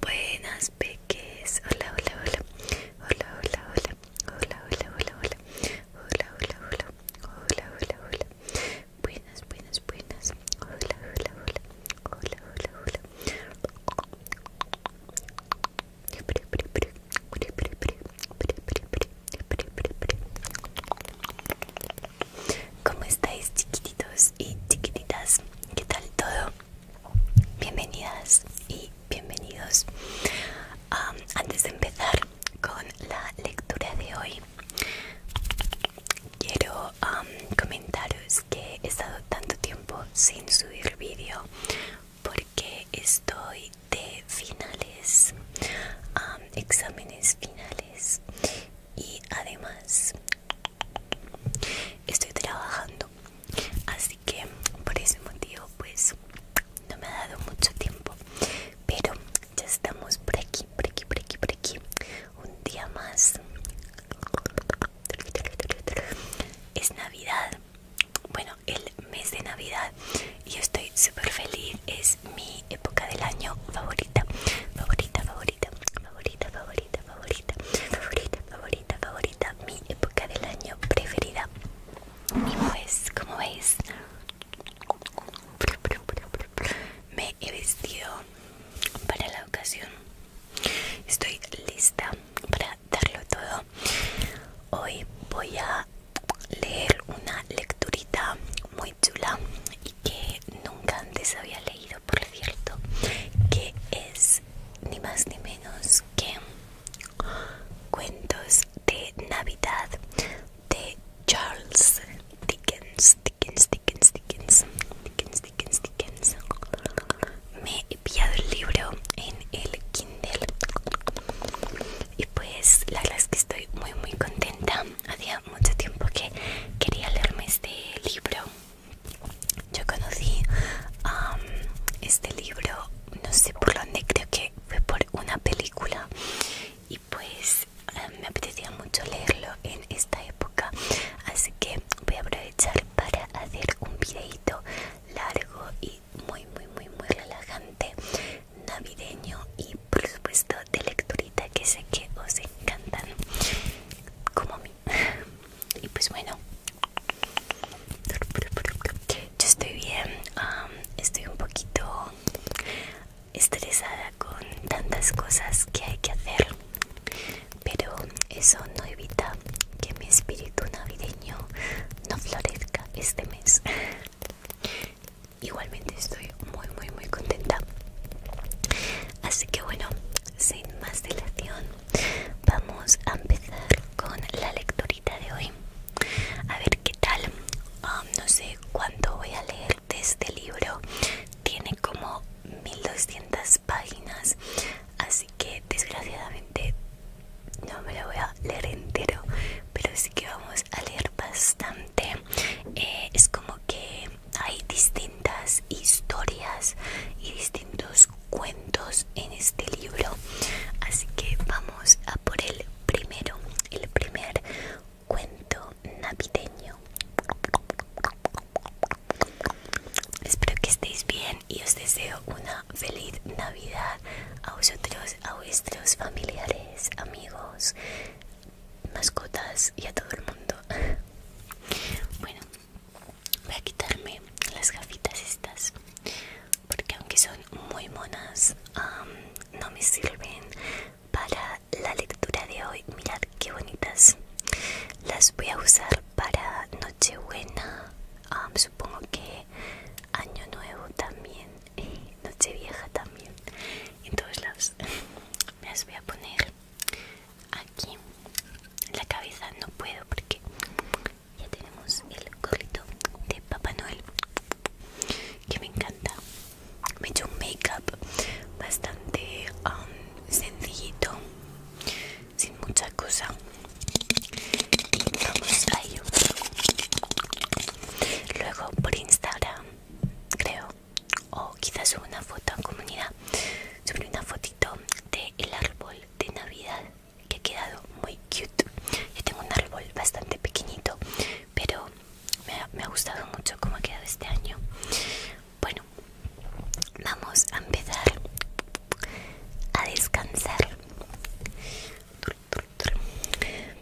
Buenas peques, hola, hola, hola, hola, hola, hola, hola, hola, hola, hola, hola, hola, hola, hola, hola, hola, hola, Buenas, buenas, buenas. Hola, hola, hola. Hola, hola, hola. ¿Cómo estáis chiquititos y chiquititas? ¿Qué tal todo? Bienvenidas y bienvenidos. antes de empezar con la lectura de hoy, Quiero um, comentaros que he estado tanto tiempo sin subir vídeo porque estoy de finales, um, exámenes finales y además estoy trabajando. Así que por ese motivo pues no me ha dado mucho tiempo pero ya estamos por aquí, por aquí, por aquí, por aquí. Un día más. Es Navidad. Bueno, el mes de Navidad. Y yo estoy súper feliz. Es mi época del año favorita. Favorita, favorita, favorita, favorita, favorita, favorita, favorita, favorita. Mi época del año preferida. Y pues, como veis me he vestido para la ocasión estoy lista para darlo todo hoy voy a leer una lecturita muy chula y que nunca antes había leído por cierto que es ni más ni menos que cuentos de navidad de Charles Dickens, Dickens, Dickens, Dickens, Dickens, Dickens, Dickens. Me he pillado el libro en el Kindle y pues la verdad es que estoy muy muy contenta. Hacía mucho tiempo que quería leerme este libro. Yo conocí este libro, no sé por dónde, creo que fue por una película pues eh, me apetecía mucho leerlo en esta época así que voy a aprovechar para hacer un videito largo y muy muy muy muy relajante navideño y por supuesto de lecturita que sé que os encantan como a mí y pues bueno yo estoy bien estoy un poquito estresada con tantas cosas que hay que hacer pero eso no evita que mi espíritu navideño no florezca este mes igualmente estoy muy muy muy contenta así que bueno sin más dilación vamos a empezar con la lectorita de hoy a ver qué tal ah, no sé cuánto voy a leer de este libro tiene como 1200 páginas así que desgraciadamente no me lo voy a leer entero pero sí que vamos a leer bastante eh, es como que hay distintas historias y distintos cuentos en este libro así que vamos a por el primero el primer cuento navideño. Espero que estéis bien y os deseo una feliz Navidad a vosotros, a vuestros familiares, amigos, mascotas y a todo el mundo. Bueno, voy a quitarme las gafitas estas porque aunque son muy monas no me sirven para la lectura de hoy. Mirad qué bonitas. Las voy a usar para Nochebuena. Um, supongo que Año Nuevo también. Y Nochevieja también. En todos lados. las voy a poner aquí. En la cabeza no puedo porque ya tenemos el gorrito de Papá Noel. Que me encanta me hecho un make-up bastante um, sencillito, sin mucha cosa. vamos a ello. Luego por Instagram, creo, o quizás una foto en comunidad, sobre una fotito del árbol de Navidad que ha quedado muy cute. Yo tengo un árbol bastante pequeñito, pero me ha, me ha gustado mucho cómo ha quedado este año. Bueno, vamos a empezar a descansar.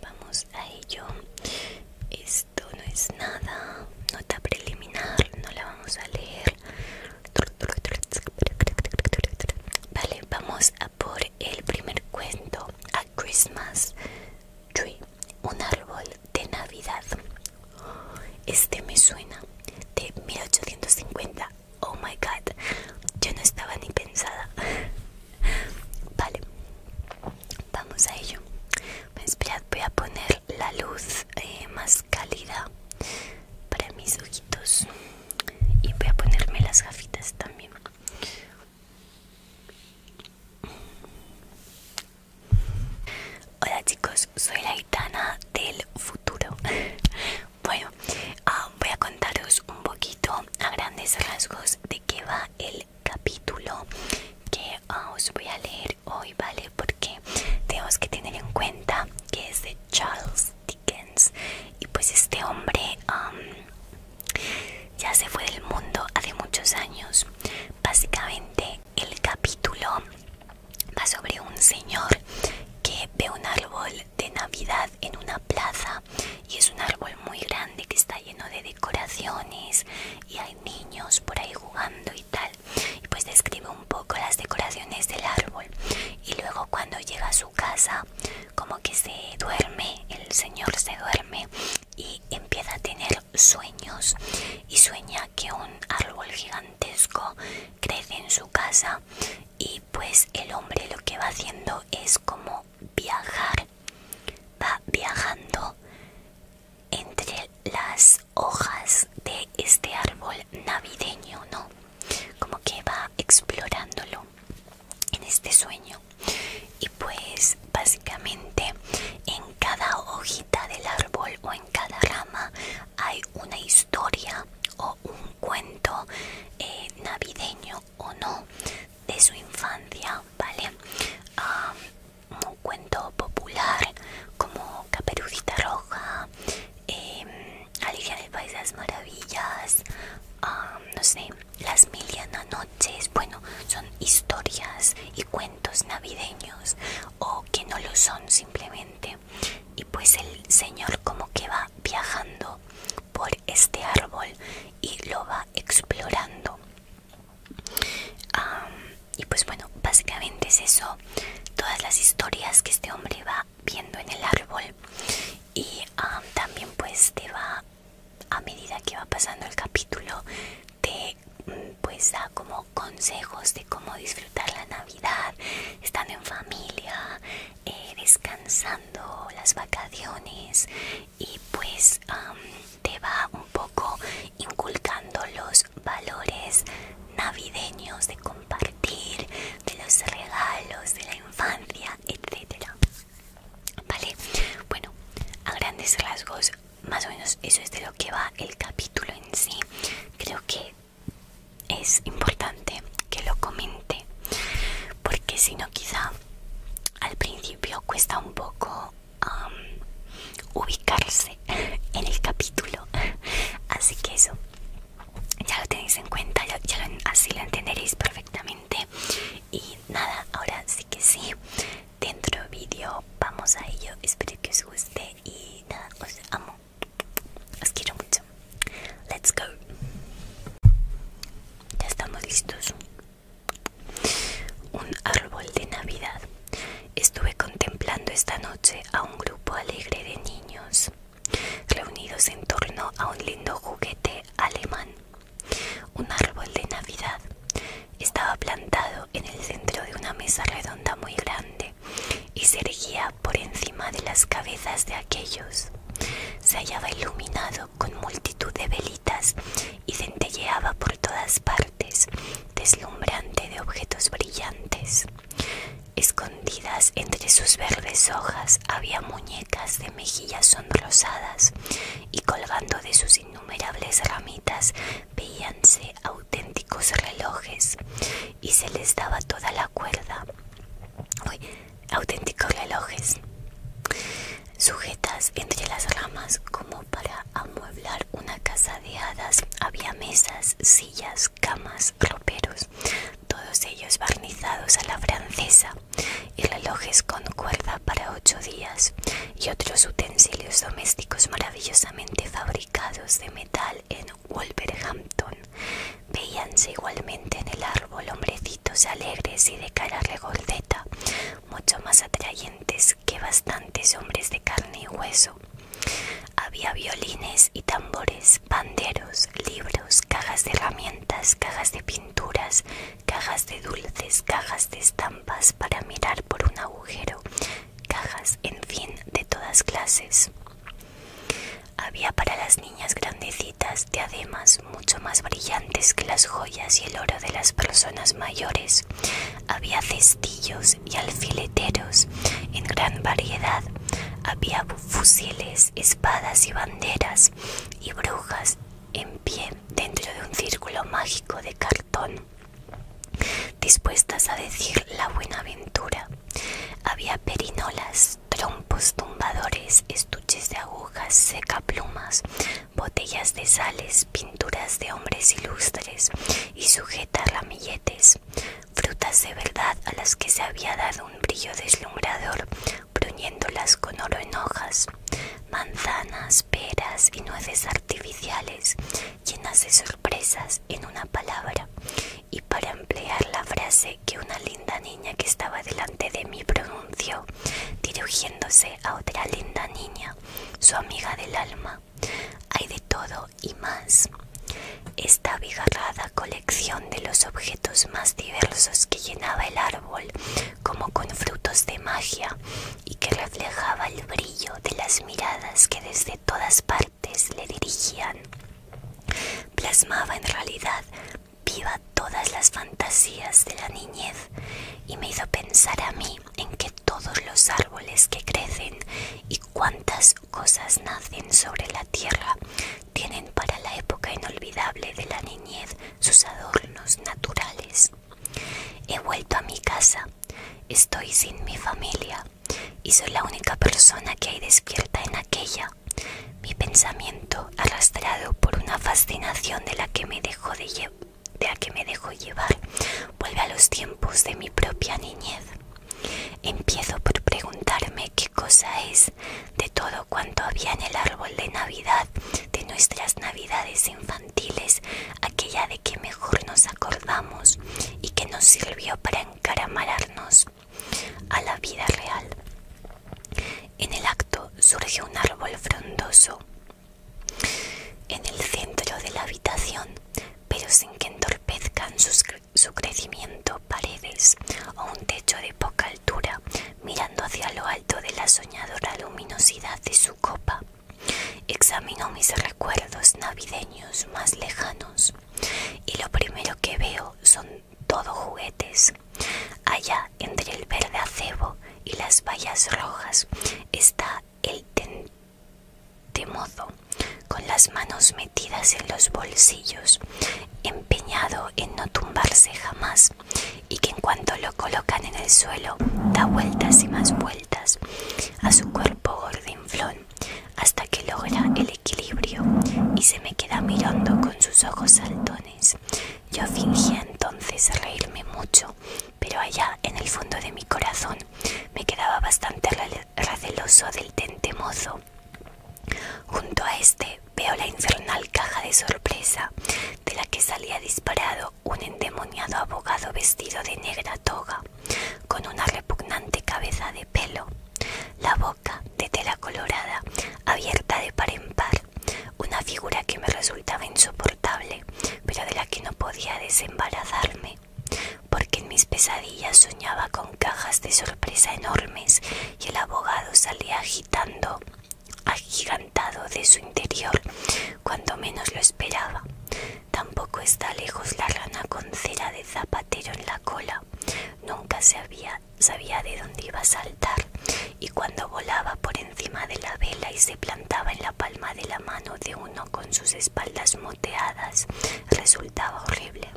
Vamos a ello. Esto no es nada, nota preliminar, no la vamos a leer. Vale, vamos a por el primer cuento, A Christmas Tree, un árbol de Navidad. Este me suena de 1850. Oh my god, yo no estaba ni pensada. Vale, vamos a ello. Pues esperad, voy a poner la luz eh, más cálida para mis ojitos y voy a ponerme las gafitas también. Hola chicos, soy la gitana del futuro. bueno, ah, voy a contaros un poquito a grandes rasgos de qué va el capítulo que ah, os voy a leer hoy, ¿vale? Porque tenemos que tener en cuenta que es de Charles Dickens y pues este hombre ya se fue del mundo hace muchos años. Básicamente el capítulo va sobre un señor que ve un árbol de Navidad en una plaza y es un árbol muy grande que está lleno de decoraciones y hay niños por ahí jugando y tal. Y pues describe un poco las decoraciones del árbol. Y luego cuando llega a su casa, como que se duerme, el señor se duerme y empieza a tener sueños y sueña que un árbol gigantesco crece en su casa y pues el hombre lo que va haciendo es como viajar va viajando entre las hojas de este árbol navideño no como que va explorándolo en este sueño y pues básicamente en cada hojita del árbol o en cada rama hay una historia o un cuento eh, navideño o no de su infancia, ¿vale? Ah, un cuento popular como Caperucita Roja, em, Alicia de las Maravillas, ah, no sé, Las Mil Noches, bueno, son historias y cuentos navideños o que no lo son simplemente y pues el señor como que va viajando por este árbol y lo va explorando y pues bueno básicamente es eso todas las historias que este hombre va viendo en el árbol y también pues te va a medida que va pasando el capítulo te mm, pues da como consejos de cómo disfrutar la Navidad, estando en familia, eh, descansando las vacaciones y pues te va un poco inculcando los valores navideños de compartir, de los regalos, de la infancia, etcétera. Vale, bueno, a grandes rasgos más o menos eso es de lo que va el capítulo en sí. Creo que es importante que lo comente, porque si no quizá al principio cuesta un poco ubicarse en el capítulo. Así que eso, ya lo tenéis en cuenta, ya, así lo entenderéis perfectamente. Y nada, ahora sí que sí, dentro vídeo vamos a ello espero que os guste y nada os amo os quiero mucho let's go ya estamos listos un árbol de navidad estuve contemplando esta noche a un grupo alegre de niños reunidos en torno a un lindo juguete alemán un árbol de navidad estaba plantado en el centro de una mesa redonda muy grande y se erguía por encima de las cabezas de aquellos. Se hallaba iluminado con multitud de velitas y centelleaba por todas partes, deslumbrante de objetos brillantes. Escondidas entre sus verdes hojas había muñecas de mejillas sonrosadas y colgando de sus innumerables ramitas veíanse auténticos relojes y se les daba toda la cuerda. auténticos relojes sujetas entre las ramas como para amueblar una casa de hadas. Había mesas, sillas, camas, roperos, todos ellos barnizados a la francesa y relojes con cuerda para ocho días y otros utensilios domésticos maravillosamente fabricados de metal en Wolverhampton. Veíanse igualmente en el árbol hombrecitos alegres y de cara regordeta, mucho más atrayentes que bastantes hombres de carne y hueso. Había violines y tambores, banderos, libros, cajas de herramientas, cajas de pinturas, cajas de dulces, cajas de estampas para mirar por un agujero, cajas, en fin, de todas clases. Había para las niñas grandecitas diademas mucho más brillantes que las joyas y el oro de las personas mayores. Había cestillos y alfileteros en gran variedad. Había fusiles, espadas y banderas y brujas en pie dentro de un círculo mágico de cartón dispuestas a decir la buena ventura. Había perinolas, trompos tumbadores, estuches de agujas, secaplumas, botellas de sales, pinturas de hombres ilustres y sujetas ramilletes, frutas de verdad a las que se había dado un brillo deslumbrador, bruñéndolas con oro en hojas, manzanas, peras y nueces artificiales llenas de sorpresas en una palabra y para emplear la frase que una linda niña que estaba delante de mí pronunció, dirigiéndose a otra linda niña, su amiga del alma. Hay de todo y más. Esta abigarrada colección de los objetos más diversos que llenaba el árbol, como con frutos de magia, y que reflejaba el brillo de las miradas que desde todas partes le dirigían. Plasmaba en realidad viva todas las fantasías de la niñez y me hizo pensar a mí en que todos los árboles que crecen y cuántas cosas nacen sobre la tierra tienen para la época inolvidable de la niñez sus adornos naturales. He vuelto a mi casa, estoy sin mi familia, y soy la única persona que hay despierta en aquella. Mi pensamiento, arrastrado por una fascinación de la que me dejo de, que me dejó llevar, vuelve a los tiempos de mi propia niñez. Empiezo por preguntarme qué cosa es de todo cuanto había en el árbol de Navidad de nuestras Navidades infantiles aquella que mejor nos acordamos y que nos sirvió para encaramararnos a la vida real. En el acto surge un árbol frondoso en el centro de la habitación, pero sin que entorpezcan su crecimiento paredes o un techo de poca altura, mirando hacia lo alto de la soñadora luminosidad de su copa. Examinó mis recuerdos navideños más lejanos y lo primero que veo son todo juguetes. Allá entre el verde acebo y las vallas rojas está el temozo con las manos metidas en los bolsillos, empeñado en no tumbarse jamás y que en cuanto lo colocan en el suelo da vueltas y más vueltas a su cuerpo gordo hasta que logra el equilibrio y se me queda mirando con sus ojos saltones. Yo fingía entonces reírme mucho, pero allá en el fondo de mi corazón me quedaba bastante receloso del mozo Junto a este veo la infernal caja de sorpresa de la que salía disparado un endemoniado abogado vestido de negra toga con una repugnante cabeza de pelo, la boca de tela colorada abierta de par en par, una figura que me resultaba insoportable, pero de la que no podía desembarazarme, porque en mis pesadillas soñaba con cajas de sorpresa enormes y el abogado salía agitando, agigantado de su interior cuando menos lo esperaba. Tampoco está lejos la rana con cera de zapatero en la cola. Nunca sabía, de dónde iba a saltar y cuando volaba por encima de la vela y se plantaba en la palma de la mano de uno con sus espaldas moteadas, resultaba horrible.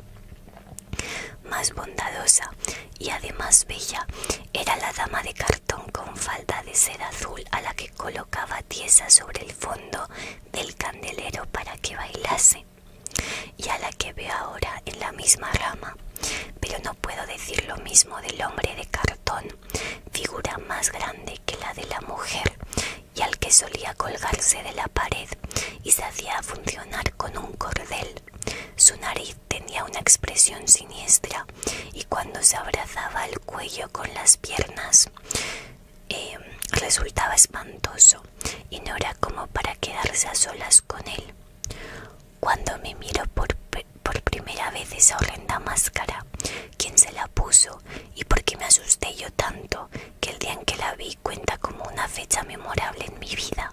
Más bondadosa y además bella era la dama de cartón con falda de seda azul a la que colocaba tiesa sobre el fondo del candelero para que bailase y a la que veo ahora en la misma rama, pero no puedo decir lo mismo del hombre de cartón, figura más grande que la de la mujer y al que solía colgarse de la pared y se hacía funcionar con un cordel. Su nariz tenía una expresión siniestra y cuando se abrazaba el cuello con las piernas Em, resultaba espantoso y no era como para quedarse a solas con él. Cuando me miró por, primera vez esa horrenda máscara, quién se la puso y por qué me asusté yo tanto que el día en que la vi cuenta como una fecha memorable en mi vida,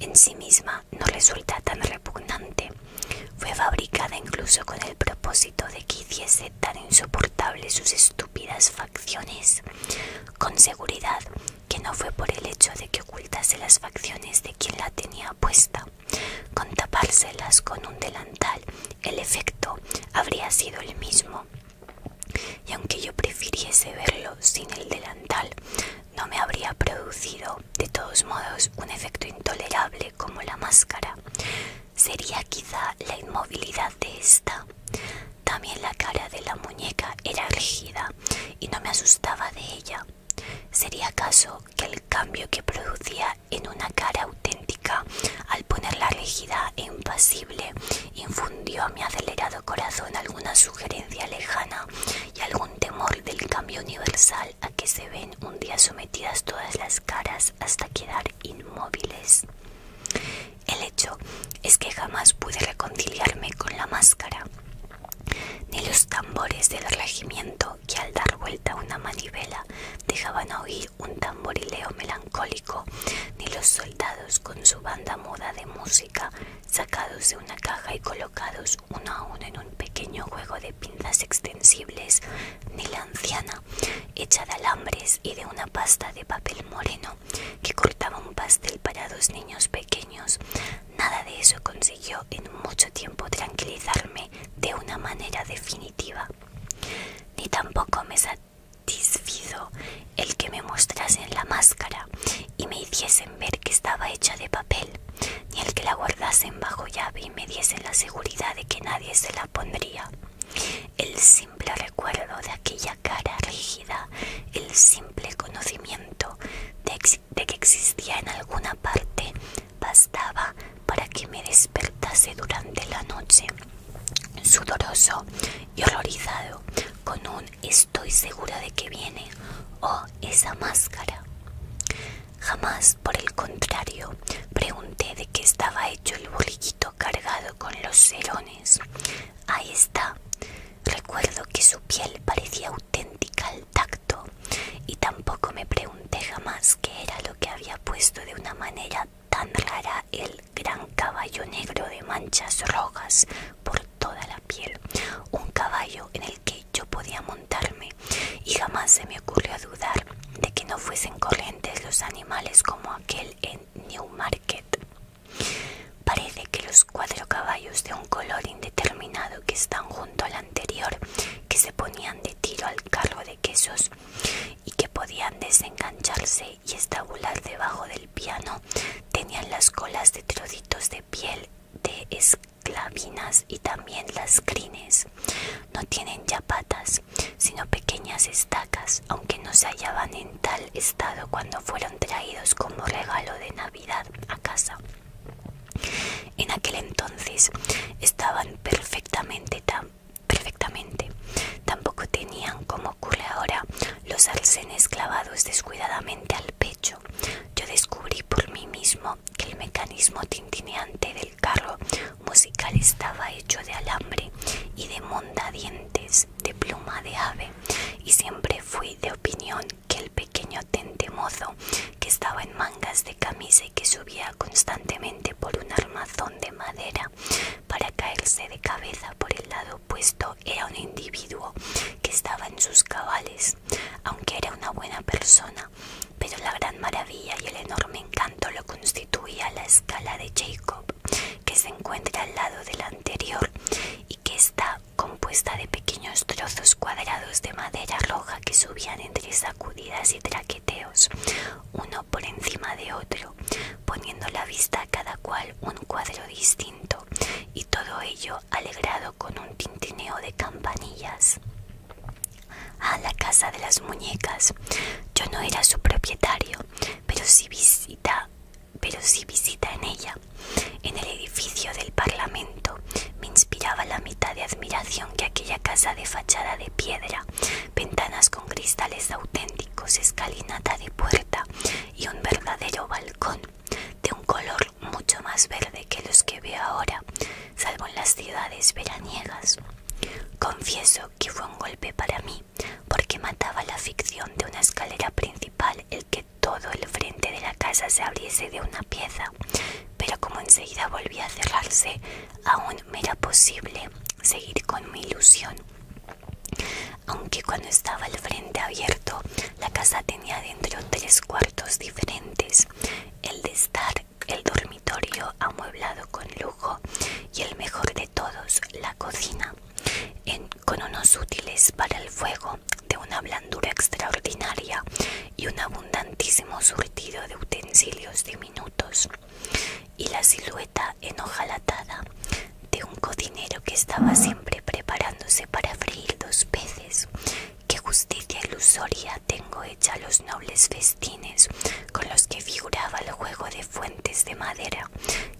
en sí misma no resulta tan repugnante. Fue fabricada incluso con el propósito de que hiciese tan insoportable sus estúpidas acciones, Con seguridad que no fue por el hecho de que ocultase las facciones de quien la tenía puesta. Con tapárselas con un delantal, el efecto habría sido el mismo. Y aunque yo prefiriese verlo sin el delantal, no me habría producido, de todos modos, un efecto intolerable como la máscara. Sería quizá la inmovilidad de esta. También la cara de la muñeca era rígida y no me asustaba de ella. ¿Sería acaso que el cambio que producía en una cara auténtica al ponerla rígida e impasible infundió a mi acelerado corazón alguna sugerencia lejana y algún temor del cambio universal a que se ven un día sometidas todas las caras hasta quedar inmóviles? El hecho es que jamás pude reconciliarme con la máscara, ni los tambores del regimiento que al dar vuelta una manivela dejaban a oír un tamborileo melancólico, ni los soldados con su banda muda de música sacados de una caja y colocados uno a uno en un pequeño juego de pinzas extensibles, ni la anciana hecha de alambres y de una pasta de papel moreno que cortaba un pastel para dos niños pequeños. Nada de eso consiguió en mucho tiempo tranquilizarme de una manera definitiva. Ni tampoco me satisfizo el que me mostrasen la máscara y me hiciesen ver que estaba hecha de papel, ni el que la guardasen bajo llave y me diesen la seguridad de que nadie se la pondría. El simple recuerdo de aquella cara rígida, el simple conocimiento de, que existía en alguna parte, bastaba para que me despertase durante la noche, sudoroso y horrorizado, con un estoy segura de que viene, o esa máscara. Jamás, por el contrario, pregunté de qué estaba hecho el burriquito cargado con los serones. Ahí está. Recuerdo que su piel parecía auténtica al tacto y tampoco me pregunté jamás qué era lo que había puesto de una manera tan rara el gran caballo negro de manchas rojas por toda la piel. Un caballo en el que yo podía montarme y jamás se me ocurrió dudar de que no fuesen corrientes los animales como aquel en Newmarket. Parece que los cuatro caballos de un color indeterminado que están junto al anterior, que se ponían de tiro al carro de quesos y que podían desengancharse y estabular debajo del piano, tenían las colas de trocitos de piel de esclavinas y también las crines. No tienen ya patas, sino pequeñas estacas, aunque no se hallaban tal estado cuando fueron traídos como regalo de Navidad a casa. En aquel entonces estaban perfectamente tan perfectamente. Tampoco tenían, como ocurre ahora, los arcenes clavados descuidadamente al pecho. Yo descubrí por mí mismo que el mecanismo tintineante del carro musical estaba hecho de alambre y de mondadientes de pluma de ave y siempre fui de opinión que el pequeño tentemozo que estaba en mangas de camisa y que subía constantemente por un armazón de madera para caerse de cabeza por el lado opuesto era un individuo que estaba en sus cabales, aunque era una buena persona, pero la gran maravilla y el enorme encanto lo constituía la escala de Jacob que se encuentra al lado del anterior y que está compuesta de pequeños trozos cuadrados de madera roja que subían entre sacudidas y traqueteos, uno por encima de otro, poniendo la vista a cada cual un cuadro distinto, y todo ello alegrado con un tintineo de campanillas. A la casa de las muñecas. Yo no era su propietario, pero si visita pero si visita en ella, en el edificio del Parlamento, me inspiraba la mitad de admiración que aquella casa de fachada de piedra, ventanas con cristales auténticos, escalinata de puerta y un verdadero balcón, de un color mucho más verde que los que veo ahora, salvo en las ciudades veraniegas. Confieso que fue un golpe para mí porque mataba la ficción de una escalera principal el que todo el frente de la casa se abriese de una pieza, pero como enseguida volvía a cerrarse, aún me era posible seguir con mi ilusión. Aunque cuando estaba el frente abierto, la casa tenía dentro tres cuartos diferentes, el de estar, el dormitorio amueblado con lujo y el mejor de todos, la cocina con unos útiles para el fuego de una blandura extraordinaria y un abundantísimo surtido de utensilios diminutos y la silueta enojalatada de un cocinero que estaba siempre preparándose para freír dos peces qué justicia ilusoria tengo hecha los nobles festines con los que figuraba el juego de fuentes de madera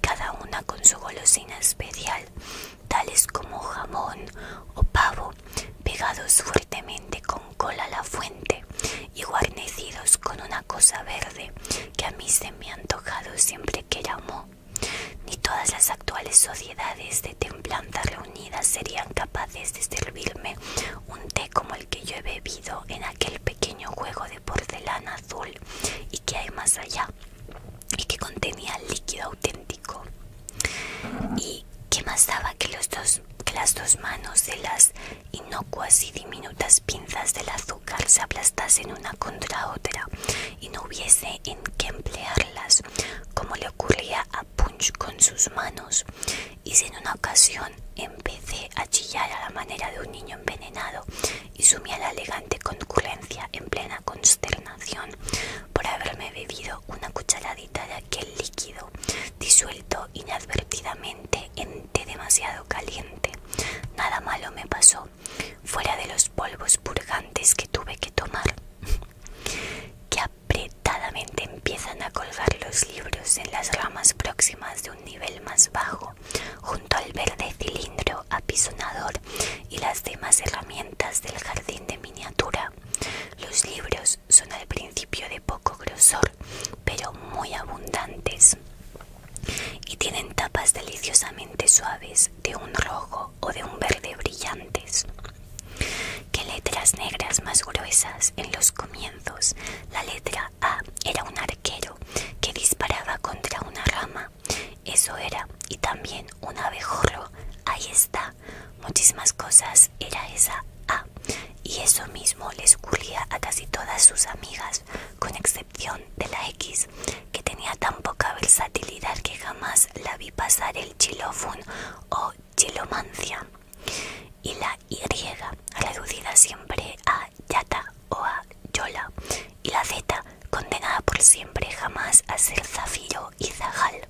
cada una con su golosina especial tales como jamón o pavo, pegados fuertemente con cola a la fuente y guarnecidos con una cosa verde que a mí se me ha antojado siempre que llamó Ni todas las actuales sociedades de templanza reunidas serían capaces de servirme un té como el que yo he bebido en aquel pequeño juego de porcelana azul y que hay más allá y que contenía líquido auténtico y que más daba que, los dos, que las dos manos de las inocuas y diminutas pinzas del azúcar se aplastasen una contra otra y no hubiese en qué emplearlas como le ocurría a Punch con sus manos y si en una ocasión empecé a chillar a la manera de un niño envenenado y sumí a la elegante concurrencia en plena consternación por haberme bebido una cucharadita de aquel líquido disuelto inadvertidamente en té demasiado caliente. Nada malo me pasó, fuera de los polvos purgantes que tuve que tomar. que apretadamente empiezan a colgar los libros en las ramas próximas de un nivel más bajo, al verde cilindro apisonador y las demás herramientas del jardín de miniatura. Los libros son al principio de poco grosor, pero muy abundantes y tienen tapas deliciosamente suaves de un rojo o de un verde brillantes. ¿Qué letras negras más gruesas en los comienzos? La letra A era un arquero que disparaba contra una rama eso era. Y también un abejorro. Ahí está. Muchísimas cosas era esa A. Y eso mismo les ocurría a casi todas sus amigas, con excepción de la X, que tenía tan poca versatilidad que jamás la vi pasar el chilofun o chilomancia. Y la Y, reducida siempre a yata o a yola, y la Z, condenada por siempre jamás a ser zafiro y zajal.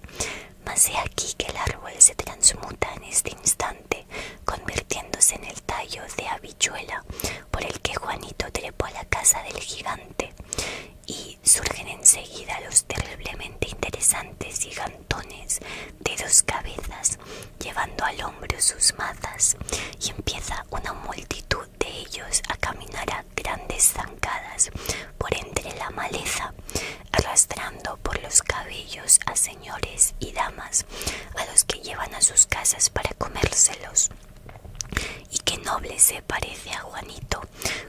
Mas he aquí que el árbol se transmuta en este instante, convirtiéndose en el tallo de habichuela, por el que Juanito trepó a la casa del gigante. Y surgen enseguida los terriblemente interesantes gigantones de dos cabezas, llevando al hombro sus mazas, y empieza una multitud de ellos a caminar a grandes zancadas por entre la maleza, arrastrando por los cabellos a señores y damas a los que llevan a sus casas para comérselos. Y qué noble se parece a Juanito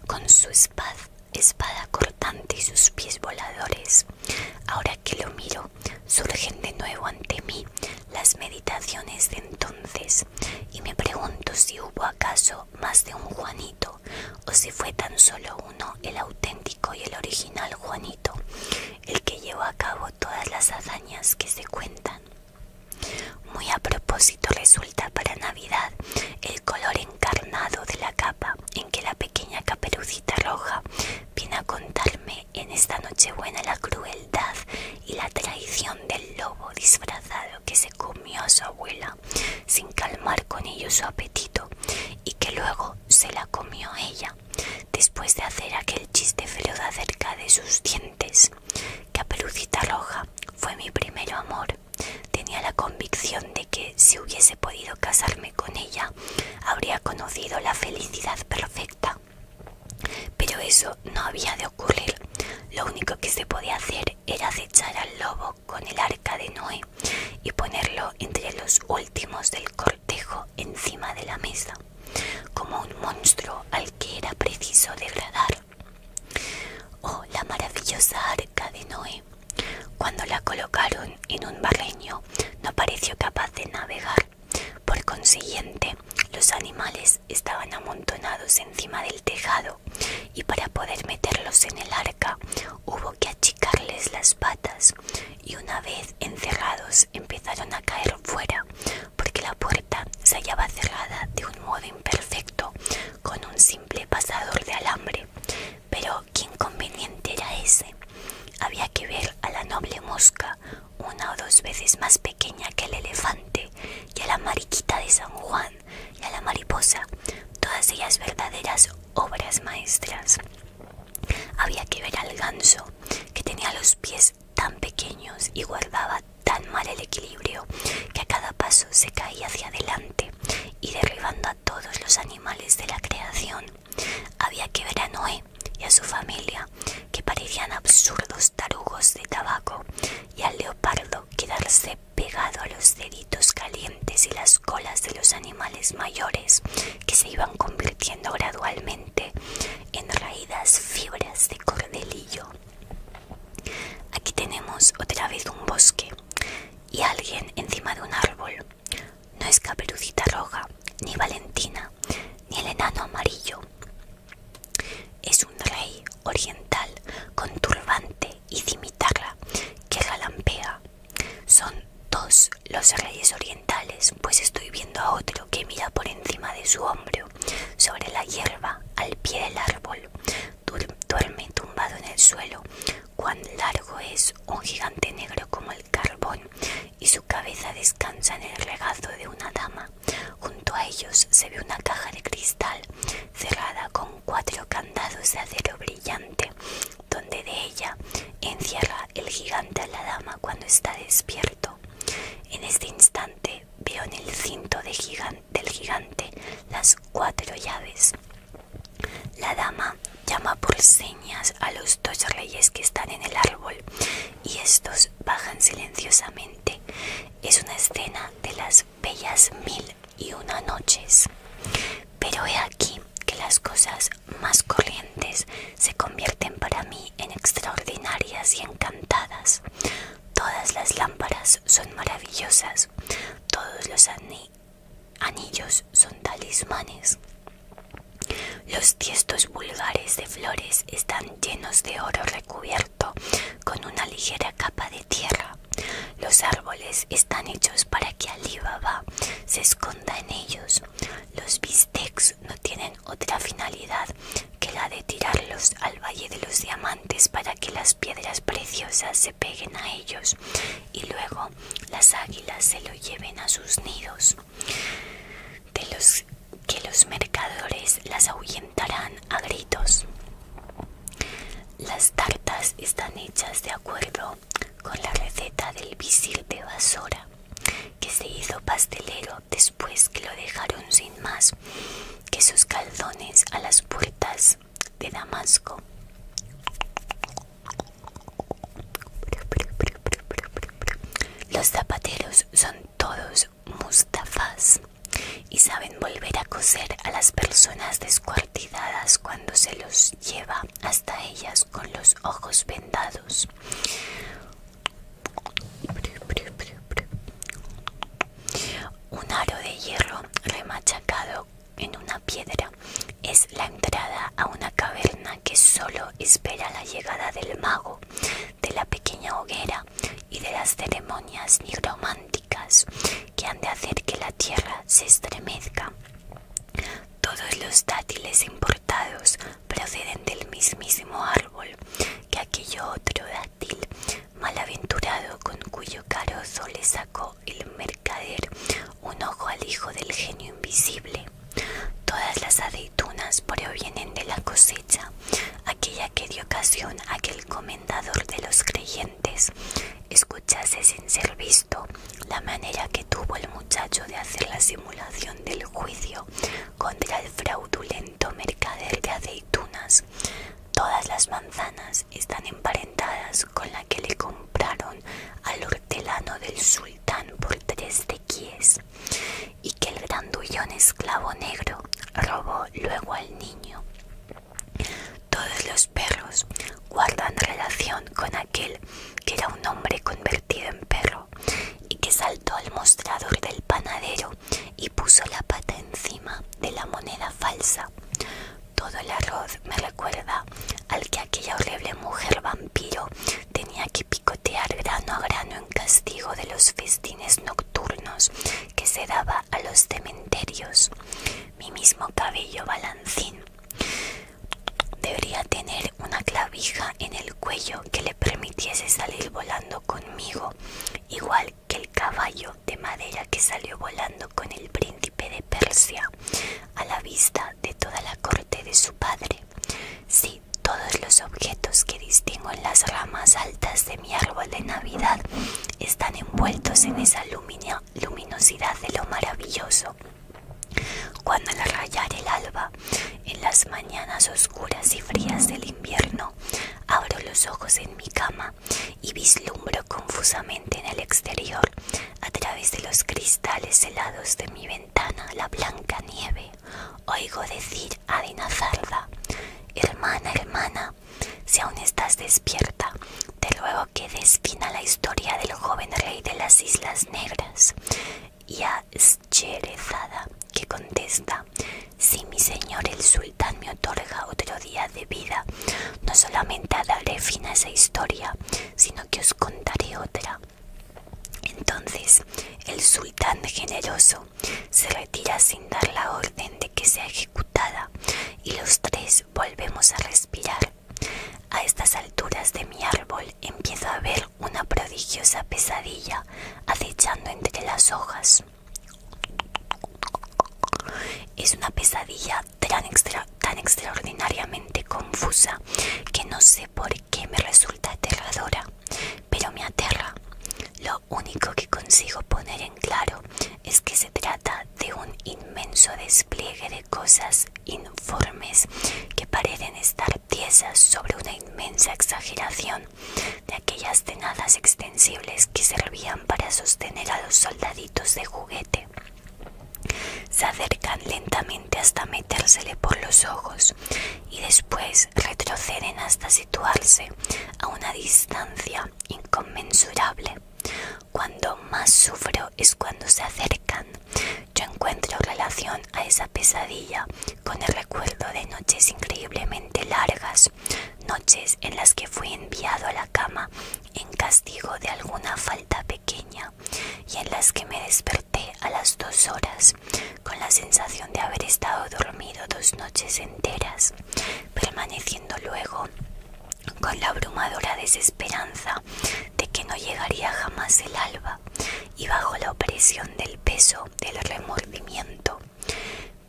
con su espada, espada cortante y sus pies voladores. Ahora que lo miro, surgen de nuevo ante mí las meditaciones de entonces y me pregunto si hubo acaso más de un Juanito o si fue tan solo uno el auténtico y el original Juanito, el que llevó a cabo todas las hazañas que se cuentan. Muy a propósito resulta para Navidad el color encarnado de la capa en que la pequeña caperucita roja viene a contarme en esta nochebuena la crueldad y la traición del lobo disfrazado que se comió a su abuela sin calmar con ello su apetito y que luego se la comió ella después de hacer aquel chiste de acerca de sus dientes. que pelucita Roja fue mi primer amor. Tenía la convicción de que si hubiese podido casarme con ella, habría conocido la felicidad perfecta. Pero eso no había de ocurrir. Lo único que se podía hacer era acechar al lobo con el arca de Noé y ponerlo entre los últimos del cortejo encima de la mesa, como un monstruo al que era preciso degradar. Oh, la maravillosa arca de Noé. Cuando la colocaron en un barreño, no pareció capaz de navegar. Por consiguiente, los animales estaban amontonados encima del tejado y para poder meterlos en el arca hubo que achicarles las patas y una vez encerrados empezaron a caer fuera porque la puerta se hallaba cerrada de un modo imperfecto con un simple pasador de alambre. Pero qué inconveniente era ese. Había que ver a la noble mosca, una o dos veces más pequeña que el elefante, y a la mariquita de San Juan y a la mariposa, todas ellas verdaderas obras maestras. Había que ver al ganso, que tenía los pies tan pequeños y guardaba tan mal el equilibrio que a cada paso se caía hacia adelante y derribando a todos los animales de la creación. Había que ver a Noé y a su familia, que parecían absurdos tarugos de tabaco, y al leopardo quedarse pegado a los deditos calientes y las colas de los animales mayores que se iban convirtiendo gradualmente en raídas fibras de cordelillo. Aquí tenemos otra vez un bosque y alguien encima de un árbol. No es Caperucita Roja, ni Valentina, ni el enano amarillo. Es un rey oriental con turbante y cimitarra que galampea. Son dos los reyes orientales, pues estoy viendo a otro que mira por encima de su hombro, sobre la hierba, al pie del árbol. Duerme tumbado en el suelo. Cuán largo es un gigante negro como el carbón, y su cabeza descansa en el regazo de una dama. Junto a ellos se ve una caja de cristal cerrada con cuatro candados de acero brillante, donde de ella encierra el gigante a la dama cuando está despierto. En este instante veo en el cinto del gigante las cuatro llaves. La dama llama por señas a los dos reyes que están en el árbol y estos bajan silenciosamente. Es una escena de las bellas mil y una noches. Pero he aquí que las cosas más corrientes se convierten para mí en extraordinarias y encantadas. Todas las lámparas son maravillosas, todos los anillos son talismanes. Los tiestos vulgares de flores están llenos de oro recubierto con una ligera capa de tierra. Los árboles están hechos para que Alibaba se esconda en ellos. Los bistecs no tienen otra finalidad que la de tirarlos al Valle de los Diamantes para que las piedras preciosas se peguen a ellos y luego las águilas se lo lleven a sus nidos. De los que los mercadores las ahuyentarán a gritos. Las tartas están hechas de acuerdo con la receta del visil de Basora, que se hizo pastelero después que lo dejaron sin más que sus calzones a las puertas de Damasco. Los zapateros son todos Mustafás y saben volver a coser a las personas descuartizadas cuando se los lleva hasta ellas con los ojos vendados. Un aro de hierro remachacado en una piedra es la entrada a una caverna que solo espera la llegada del mago, de la pequeña hoguera y de las ceremonias nigrománticas que han de hacer que la tierra se estremezca. Todos los dátiles importados proceden del mismísimo árbol que aquello otro dátil malaventurado con cuyo carozo le sacó el mercader un ojo al hijo del genio invisible. Todas las aceitunas provienen de la cosecha, aquella que dio ocasión a que el comendador de los creyentes Escuchase sin ser visto la manera que tuvo el muchacho de hacer la simulación del juicio contra el fraudulento mercader de aceitunas. Todas las manzanas están emparentadas con la que le compraron al hortelano del sultán por tres quies, y que el grandullón esclavo negro robó luego al niño. Todos los perros guardan relación con aquel que era un hombre convertido en perro y que saltó al mostrador del panadero y puso la pata encima de la moneda falsa. Todo el arroz me recuerda al que aquella horrible mujer vampiro tenía que picotear grano a grano en castigo de los festines nocturnos que se daba a los cementerios mi mismo cabello balancín. Debería tener una clavija en el cuello que le permitiese salir volando conmigo, igual que el caballo de madera que salió volando con el príncipe de Persia, a la vista de toda la corte de su padre. Sí, todos los objetos que distingo en las ramas altas de mi árbol de Navidad están envueltos en esa luz luminosidad de lo maravilloso. Cuando al rayar el alba, en las mañanas oscuras y frías del invierno, abro los ojos en mi cama y vislumbro confusamente en el exterior, a través de los cristales helados de mi ventana, la blanca nieve. Oigo decir a Dinazarda, hermana, hermana, si aún estás despierta, te ruego que des la historia del joven rey de las Islas Negras y a Scherezada, que contesta: Si mi señor el sultán me otorga otro día de vida, no solamente daré fin a esa historia, sino que os contaré otra. Entonces el sultán generoso se retira sin dar la orden de que sea ejecutada y los tres volvemos a respirar. A estas alturas de mi árbol empiezo a ver una prodigiosa pesadilla acechando entre las hojas. Es una pesadilla tan, tan extraordinariamente confusa que no sé por qué me resulta aterradora, pero me aterra. Lo único que consigo poner claro es que se trata de un inmenso despliegue de cosas informes que parecen estar tiesas sobre una inmensa exageración de aquellas tenadas extensibles que servían para sostener a los soldaditos de juguete. Se acercan lentamente hasta metérsele por los ojos y después retroceden hasta situarse a una distancia inconmensurable. Cuando más sufro es cuando se acercan. Yo encuentro relación a esa pesadilla con el recuerdo de noches increíblemente largas, noches en las que fui enviado a la cama en castigo de alguna falta pequeña y en las que me desperté a las dos horas con la sensación de haber estado dormido dos noches enteras, permaneciendo luego con la abrumadora desesperanza de que no llegaría jamás el alba y bajo la opresión del peso del remordimiento.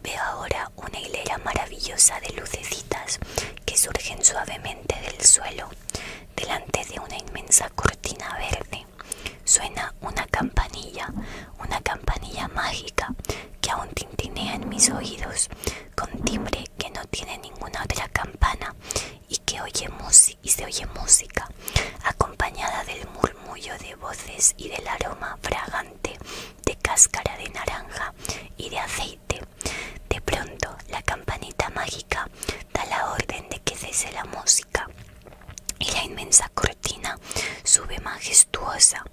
Veo ahora una hilera maravillosa de lucecitas que surgen suavemente del suelo, delante de una inmensa cortina verde. Suena una campanilla, una campanilla mágica que aún tintinea en mis oídos con timbre que no tiene ninguna otra campana y que oye música y se oye música acompañada del murmullo de voces y del aroma fragante de cáscara de naranja y de aceite. De pronto la campanita mágica da la orden de que cese la música y la inmensa cortina sube majestuosa.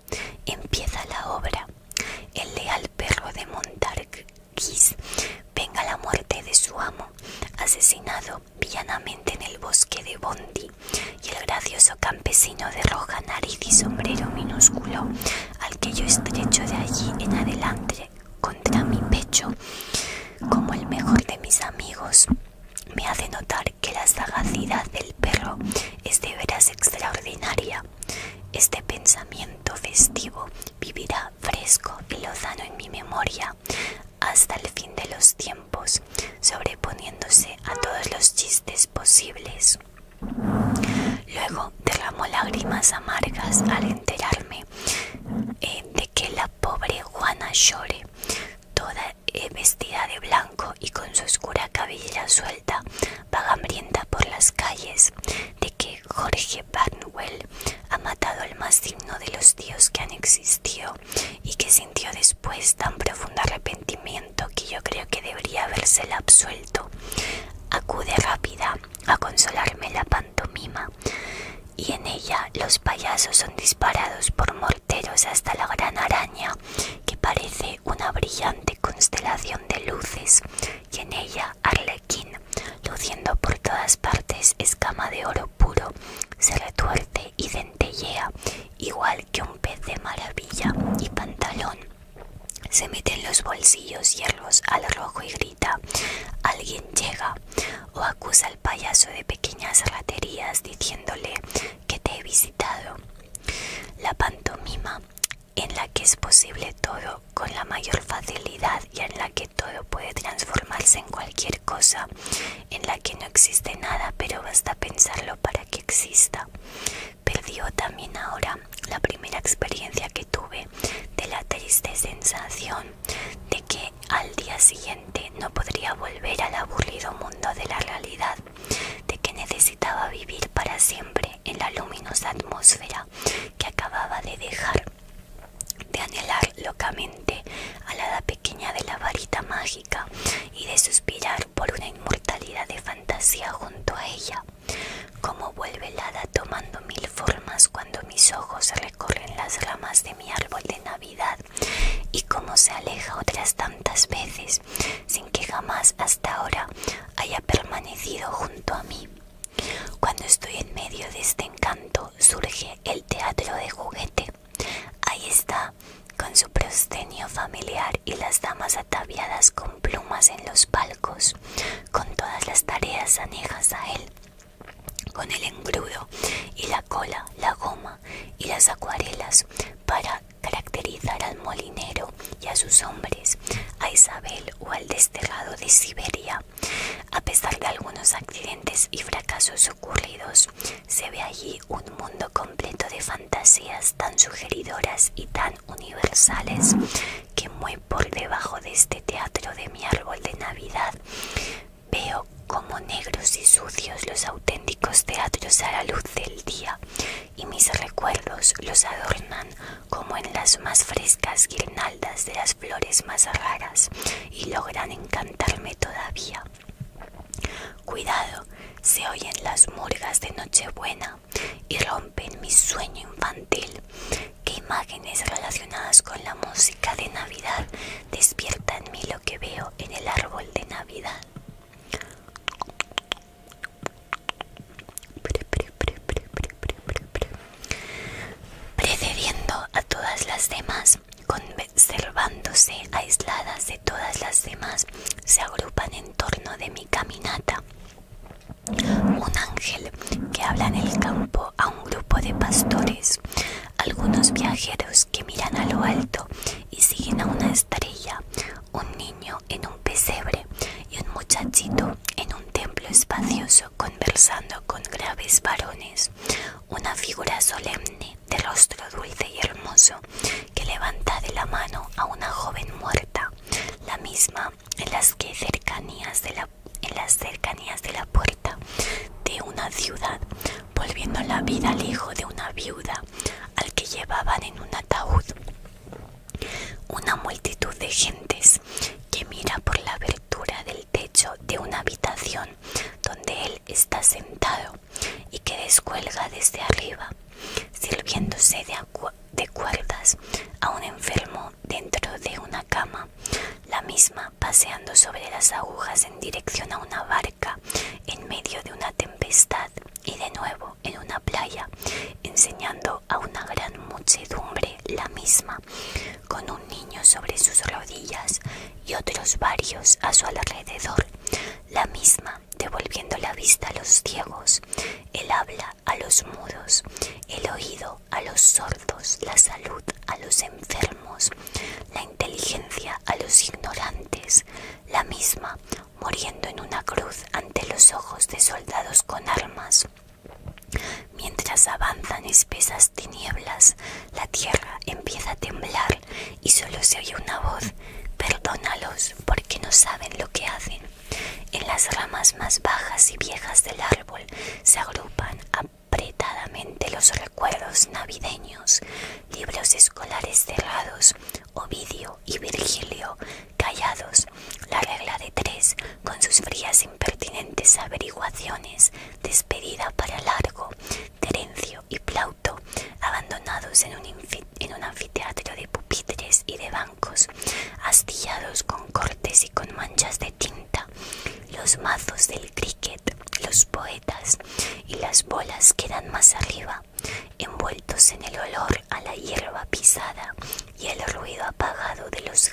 Empieza la obra el leal perro de Montargis venga la muerte de su amo, asesinado villanamente en el bosque de Bondi, y el gracioso campesino de roja nariz y sombrero minúsculo, al que yo estrecho de allí en adelante contra mi pecho, como el mejor de mis amigos, me hace notar que la sagacidad del perro es de veras extraordinaria. Este pensamiento festivo vivirá fresco y lozano en mi memoria hasta el fin de los tiempos, sobreponiéndose a todos los chistes posibles. Luego derramó lágrimas amargas al enterarme eh, de que la pobre Juana llore, toda eh, vestida de blanco y con su oscura cabellera suelta, va hambrienta por las calles, que Jorge Barnwell ha matado al más digno de los dios que han existido y que sintió después tan profundo arrepentimiento que yo creo que debería habérsela absuelto. Acude rápida a consolarme la pantomima y en ella los payasos son disparados por morteros hasta la gran araña que parece una brillante constelación de luces y en ella Arlequín, luciendo por todas partes escama de oro puro, se retuerce y dentellea, igual que un pez de maravilla y pantalón. Se mete en los bolsillos hierros al rojo y grita, alguien llega, o acusa al payaso de pequeñas raterías diciéndole que te he visitado. La pantomima en la que es posible todo con la mayor facilidad y en la que todo puede transformarse en cualquier cosa, en la que no existe nada pero basta pensarlo para que exista. Perdió también ahora la primera experiencia que tuve de la triste sensación de que al día siguiente no podría volver al aburrido mundo de la realidad, de que necesitaba vivir para siempre en la luminosa atmósfera que acababa de dejar de anhelar locamente a la pequeña de la varita mágica y de suspirar por una inmortalidad de fantasía junto a ella. cómo vuelve el hada tomando mil formas cuando mis ojos recorren las ramas de mi árbol de Navidad y cómo se aleja otras tantas veces sin que jamás hasta ahora haya permanecido junto a mí. Cuando estoy en medio de este encanto, surge el teatro de juguete. Ahí está, con su proscenio familiar y las damas ataviadas con plumas en los palcos, con todas las tareas anejas a él, con el engrudo y la cola, la goma y las acuarelas para caracterizar al molinero y a sus hombres, a Isabel o al desterrado de Siberia. A pesar de algunos accidentes y fracasos ocurridos, se ve allí un mundo completo de fantasías tan sugeridoras y tan universales que muy por debajo de este teatro de mi árbol de Navidad veo como negros y sucios los auténticos teatros a la luz del día y mis recuerdos los adornan como en las más frescas guirnaldas de las flores más raras y logran encantarme todavía. Cuidado, se oyen las murgas de Nochebuena y rompen mi sueño infantil. ¿Qué imágenes relacionadas con la música de Navidad despierta en mí lo que veo en el árbol de Navidad? precediendo a todas las demás, conservándose aisladas de todas las demás, se agrupan en torno de mi caminata. Un ángel que habla en el campo a un grupo de pastores, algunos viajeros que miran a lo alto y siguen a una estrella, un niño en un pesebre y un muchachito en un templo espacioso conversando con graves varones, una figura solemne de rostro dulce y hermoso que levanta de la mano a una joven muerta, la misma en las cercanías de la en las cercanías de la puerta de una ciudad, volviendo la vida al hijo de una viuda, al que llevaban en un ataúd. Una multitud de gentes que mira por la abertura del techo de una habitación donde él está sentado y que descuelga desde arriba, sirviéndose de, cuerdas a un enfermo dentro de una cama, la misma paseando sobre las agujas en dirección a una barca en medio de una tempestad y de nuevo en una playa, enseñando a una gran muchedumbre la misma, con un niño sobre sus rodillas y otros varios a su alrededor, la misma devolviendo la vista a los ciegos, el habla a los mudos, el oído a los sordos, la salud a los enfermos, la inteligencia a los ignorantes, la misma muriendo en una cruz ante los ojos de soldados con armas, Mientras avanzan espesas tinieblas, la tierra empieza a temblar y solo se oye una voz, perdónalos porque no saben lo que hacen. En las ramas más bajas y viejas del árbol se agrupan apretadamente los recuerdos navideños, libros escolares cerrados, Ovidio y Virgilio callados la regla de tres, con sus frías impertinentes averiguaciones, despedida para Largo, Terencio y Plauto, abandonados en un, anfiteatro de pupitres y de bancos, astillados con cortes y con manchas de tinta, los mazos del cricket, los poetas y las bolas quedan más arriba, envueltos en el olor a la hierba pisada y el ruido apagado de los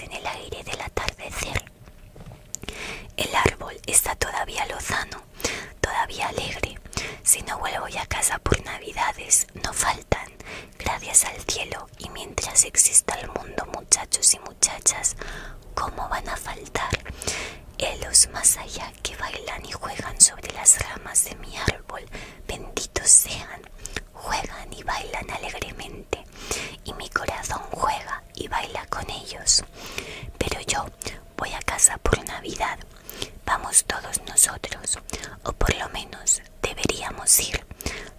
en el aire del atardecer. El árbol está todavía lozano, todavía alegre. Si no vuelvo a casa por navidades, no faltan. Gracias al cielo y mientras exista el mundo, muchachos y muchachas, ¿cómo van a faltar? elos más allá que bailan y juegan sobre las ramas de mi árbol, benditos sean juegan y bailan alegremente y mi corazón juega y baila con ellos. Pero yo voy a casa por Navidad, vamos todos nosotros, o por lo menos deberíamos ir,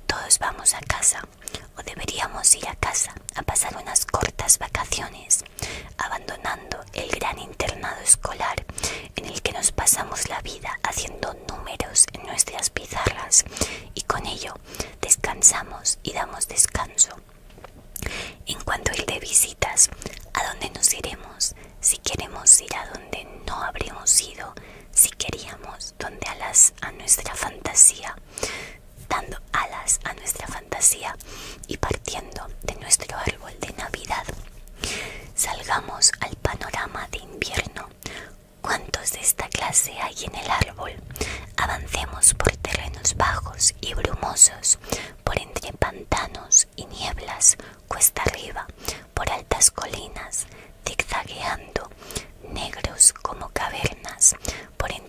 todos vamos a casa, o deberíamos ir a casa a pasar unas cortas vacaciones, abandonando el gran internado escolar en el que nos pasamos la vida haciendo números en nuestras pizarras y con ello descansamos y damos descanso. En cuanto a de visitas, ¿a dónde nos iremos? Si queremos ir a donde no habremos ido, si queríamos, donde alas a nuestra fantasía, dando alas a nuestra fantasía y partiendo de nuestro árbol de Navidad. Salgamos al panorama de invierno ¿Cuántos de esta clase hay en el árbol? Avancemos por terrenos bajos y brumosos, por entre pantanos y nieblas, cuesta arriba, por altas colinas, zigzagueando, negros como cavernas, por entre,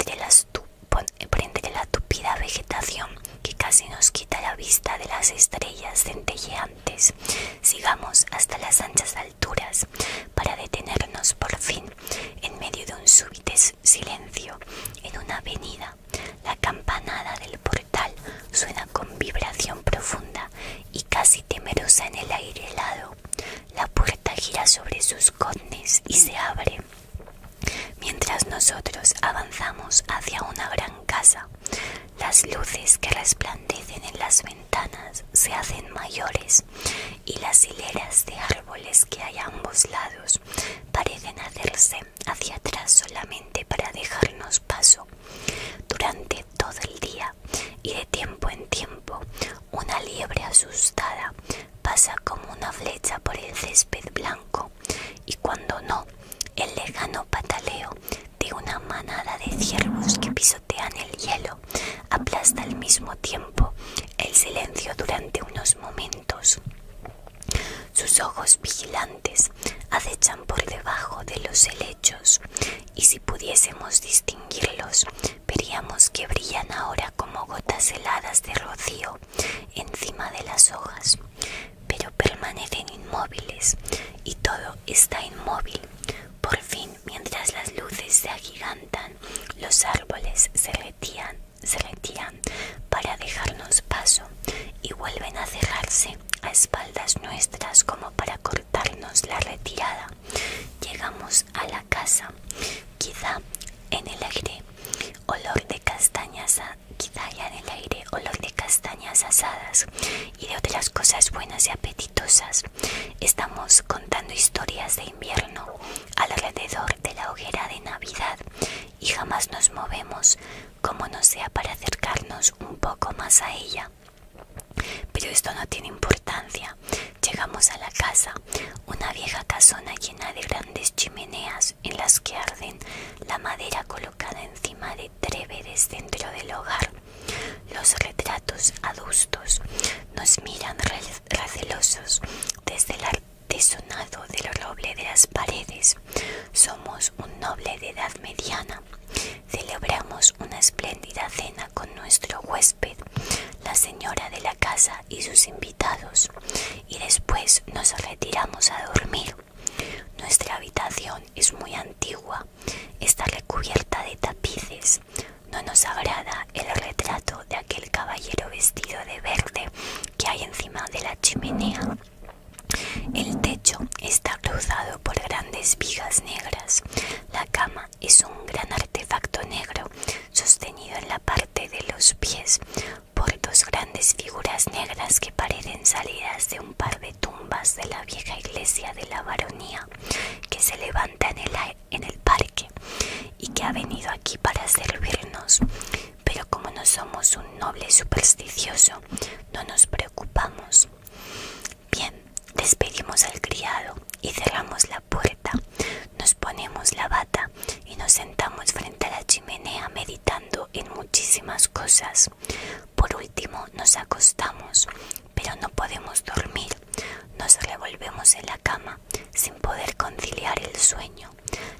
la tupida vegetación que casi nos quita la vista de las estrellas centelleantes. Sigamos hasta las anchas alturas para detenernos por fin en medio de un súbito silencio en una avenida. La campanada del portal suena con vibración profunda y casi temerosa en el aire helado. La puerta gira sobre sus cornes y se abre. Mientras nosotros avanzamos hacia una gran casa, las luces que resplandecen en las ventanas ventanas se hacen mayores y las hileras de árboles que hay a ambos lados parecen hacerse hacia atrás solamente para dejarnos paso. Durante todo el día y de tiempo en tiempo, una liebre asustada pasa como una flecha por el césped blanco y cuando no, el lejano pataleo de una manada de ciervos que el hielo, aplasta al mismo tiempo el silencio durante unos momentos. Sus ojos vigilantes acechan por debajo de los helechos y si pudiésemos distinguirlos veríamos que brillan ahora como gotas heladas de rocío encima de las hojas, pero permanecen inmóviles y todo está inmóvil. Por fin mientras las luces se agigantan, los árboles se retiran, se para dejarnos paso y vuelven a cerrarse a espaldas nuestras como para cortarnos la retirada. Llegamos a la casa, quizá en el aire, olor de castañas, quizá ya en el aire, olor de castañas asadas y de otras cosas buenas y apetitosas. Estamos contando historias de invierno alrededor de la hoguera de Navidad y jamás nos movemos como no sea para acercarnos un poco más a ella. Pero esto no tiene importancia. Llegamos a la casa, una vieja casona llena de grandes chimeneas en las que arden la madera colocada encima de tréveres dentro del hogar los retratos adustos nos miran recelosos desde el artesonado del roble de las paredes. Somos un noble de edad mediana. Celebramos una espléndida cena con nuestro huésped, la señora de la casa y sus invitados, y después nos retiramos a dormir. Nuestra habitación es muy antigua, está recubierta de tapices, no nos agrada el retrato de aquel caballero vestido de verde que hay encima de la chimenea. El techo está cruzado por grandes vigas negras. La cama es un gran artefacto negro sostenido en la parte de los pies por dos grandes figuras negras que parecen salidas de un par de tumbas de la vieja iglesia de la baronía que se levanta en el, en el parque y que ha venido aquí para servirnos. Pero como no somos un noble supersticioso, no nos preocupamos. Bien, despedimos al criado y cerramos la puerta. Nos ponemos la bata y nos sentamos frente a la chimenea meditando en muchísimas cosas. Por último nos acostamos, pero no podemos dormir. Nos revolvemos en la cama sin poder conciliar el sueño.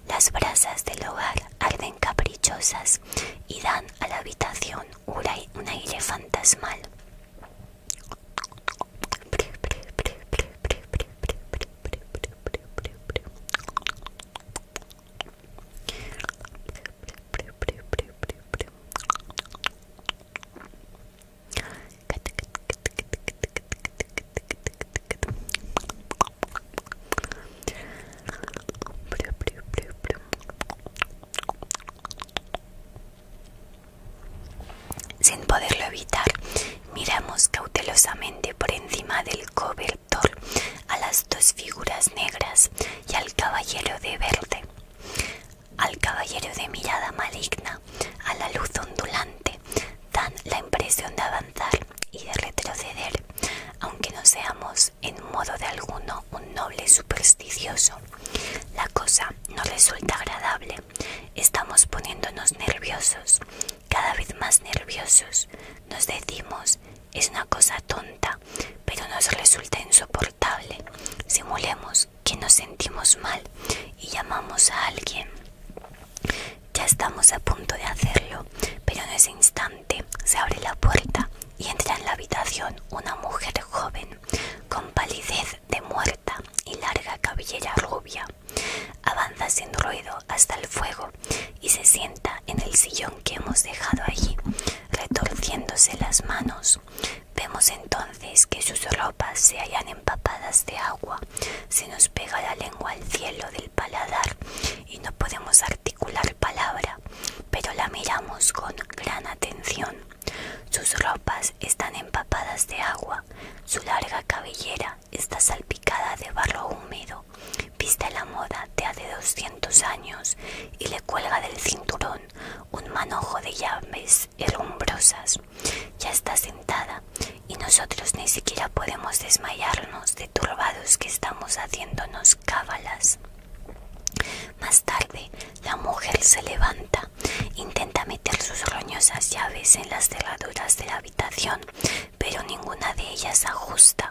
Las brasas del hogar arden caprichosas y dan a la habitación un aire fantasmal. Sin poderlo evitar, miramos cautelosamente por encima del cobertor a las dos figuras negras y al caballero de verde al caballero de mirada maligna, a la luz ondulante, dan la impresión de avanzar y de retroceder, aunque no seamos en modo de alguno un noble supersticioso. La cosa no resulta agradable, estamos poniéndonos nerviosos, cada vez más nerviosos, nos decimos es una cosa tonta, pero nos resulta insoportable. Simulemos que nos sentimos mal y llamamos a alguien. Ya estamos a punto de hacerlo, pero en ese instante se abre la puerta y entra en la habitación una mujer joven, con palidez de muerta y larga cabellera rubia. Avanza sin ruido hasta el fuego y se sienta en el sillón que hemos dejado allí, retorciéndose las manos. Vemos entonces que sus ropas se hallan empapadas de agua, se nos pega la lengua al cielo del paladar y no podemos articular palabra, pero la miramos con gran atención. Sus ropas están empapadas de agua, su larga cabellera está salpicada de barro húmedo, viste la moda de hace 200 años y le cuelga del cinturón un manojo de llaves herrumbrosas. Ya está sentada y nosotros ni siquiera podemos desmayarnos de turbados que estamos haciéndonos cábalas. Más tarde, la mujer se levanta, intenta meter sus roñosas llaves en las cerraduras de la habitación, pero ninguna de ellas ajusta.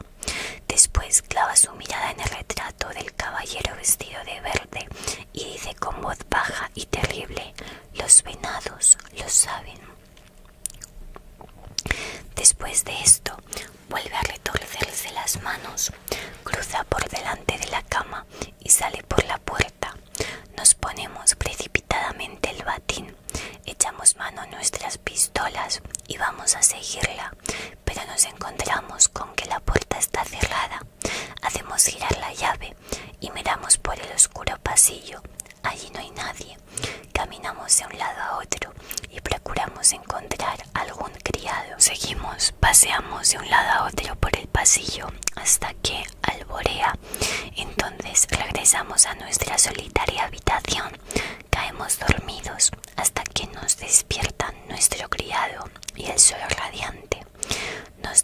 Después clava su mirada en el retrato del caballero vestido de verde y dice con voz baja y terrible. Los venados lo saben. Después de esto, vuelve a retorcerse las manos, cruza por delante de la cama y sale por la puerta. Nos ponemos precipitadamente el batín, echamos mano a nuestras pistolas y vamos a seguirla, pero nos encontramos con que la puerta está cerrada. Hacemos girar la llave y miramos por el oscuro pasillo. Allí no hay nadie. Caminamos de un lado a otro y procuramos encontrar algún criado. Seguimos, paseamos de un lado a otro por el pasillo hasta que alborea. Entonces regresamos a nuestra solitaria habitación. Caemos dormidos hasta que nos despiertan nuestro criado y el sol radiante. Nos,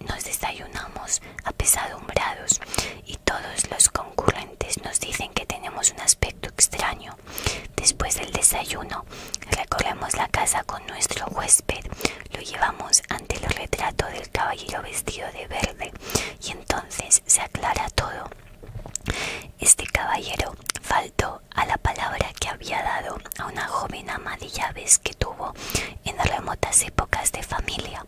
nos desayunamos apesadumbrados y todos los concurrentes nos dicen que tenemos un aspecto extraño. Después del desayuno, recorremos la casa con nuestro huésped, lo llevamos ante el retrato del caballero vestido de verde y entonces se aclara todo. Este caballero faltó a la palabra que había dado a una joven ama de llaves que tuvo en remotas épocas de familia.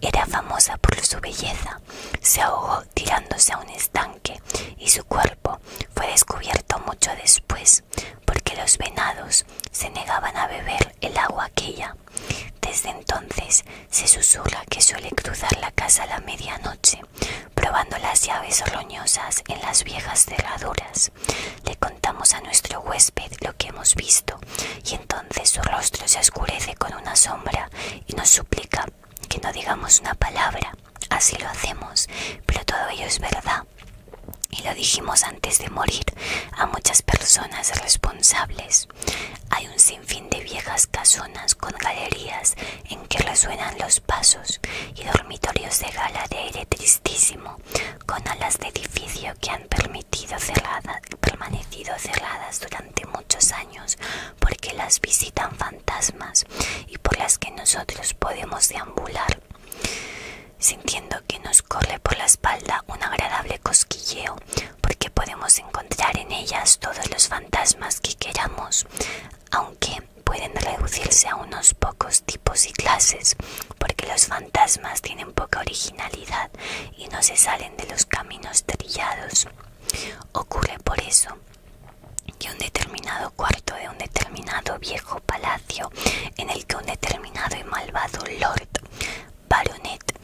Era famosa por su belleza, se ahogó tirándose a un estanque y su cuerpo fue descubierto mucho después porque los venados se negaban a beber el agua aquella. Desde entonces se susurra que suele cruzar la casa a la medianoche, probando las llaves roñosas en las viejas cerraduras. Le contamos a nuestro huésped lo que hemos visto y entonces su rostro se oscurece con una sombra y nos suplica que no digamos una palabra. Así lo hacemos, pero todo ello es verdad. Y lo dijimos antes de morir a muchas personas responsables. Hay un sinfín de viejas casonas con galerías en que resuenan los pasos y dormitorios de gala de aire tristísimo con alas de edificio que han permitido cerradas, permanecido cerradas durante muchos años porque las visitan fantasmas y por las que nosotros podemos deambular, sintiendo que nos corre por la espalda un agradable cosquilleo porque podemos encontrar en ellas todos los fantasmas que queramos, aunque pueden reducirse a unos pocos tipos y clases porque los fantasmas tienen poca originalidad y no se salen de los caminos trillados. Ocurre por eso que un determinado cuarto de un determinado viejo palacio en el que un determinado y malvado lord, baronet,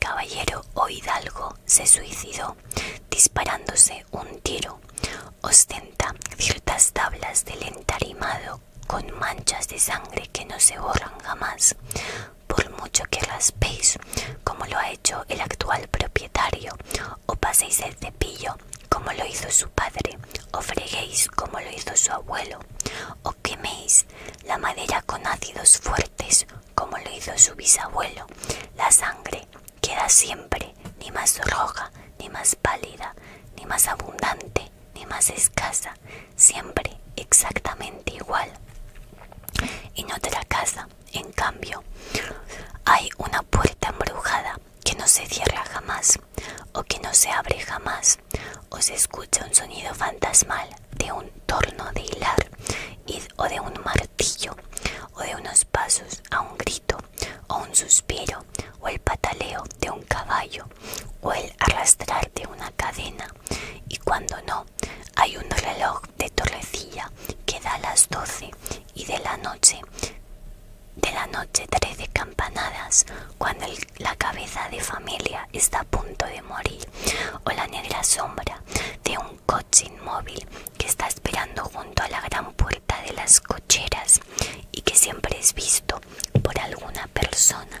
caballero o hidalgo se suicidó disparándose un tiro, ostenta ciertas tablas del entarimado con manchas de sangre que no se borran jamás, por mucho que raspéis, como lo ha hecho el actual propietario, o paséis el cepillo, como lo hizo su padre, o freguéis, como lo hizo su abuelo, o queméis la madera con ácidos fuertes, como lo hizo su bisabuelo, la sangre queda siempre ni más roja, ni más pálida, ni más abundante, ni más escasa, siempre exactamente igual. En otra casa, en cambio, hay una puerta embrujada que no se cierra jamás o que no se abre jamás o se escucha un sonido fantasmal de un torno de hilar o de un martillo o de unos pasos a un grito o un suspiro o el pataleo de un caballo o el arrastrarte una cadena y cuando no hay un reloj de torrecilla que da las 12 y de la noche de la noche 13 campanadas cuando la cabeza de familia está a punto de morir o la negra sombra de un coche inmóvil que está esperando junto a la gran puerta de las cocheras y que siempre es visto por alguna persona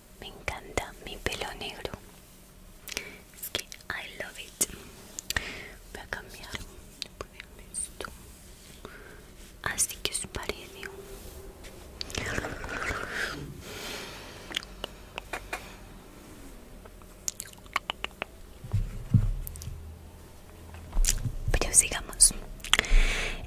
Me encanta mi pelo negro. Es que I love it. Voy a cambiar. esto. Así ah, que es parecido. Pero sigamos.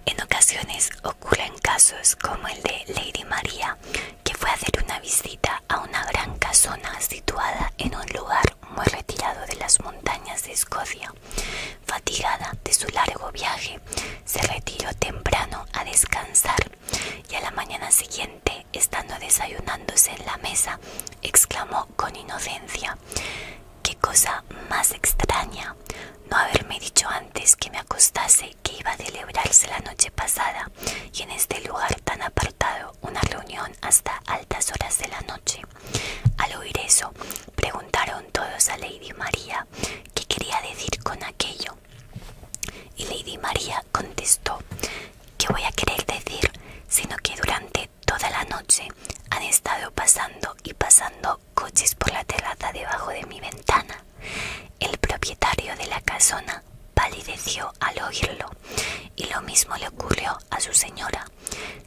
En ocasiones ocurre casos como el de Lady María, que fue a hacer una visita a una gran casona situada en un lugar muy retirado de las montañas de Escocia. Fatigada de su largo viaje, se retiró temprano a descansar y a la mañana siguiente, estando desayunándose en la mesa, exclamó con inocencia Qué cosa más extraña no haberme dicho antes que me acostase que iba a celebrarse la noche pasada y en este lugar tan apartado una reunión hasta altas horas de la noche. Al oír eso, preguntaron todos a Lady María qué quería decir con aquello. Y Lady María contestó, ¿qué voy a querer decir? Sino que durante toda la noche han estado pasando y pasando coches por la terraza debajo de mi ventana el propietario de la casona palideció al oírlo y lo mismo le ocurrió a su señora.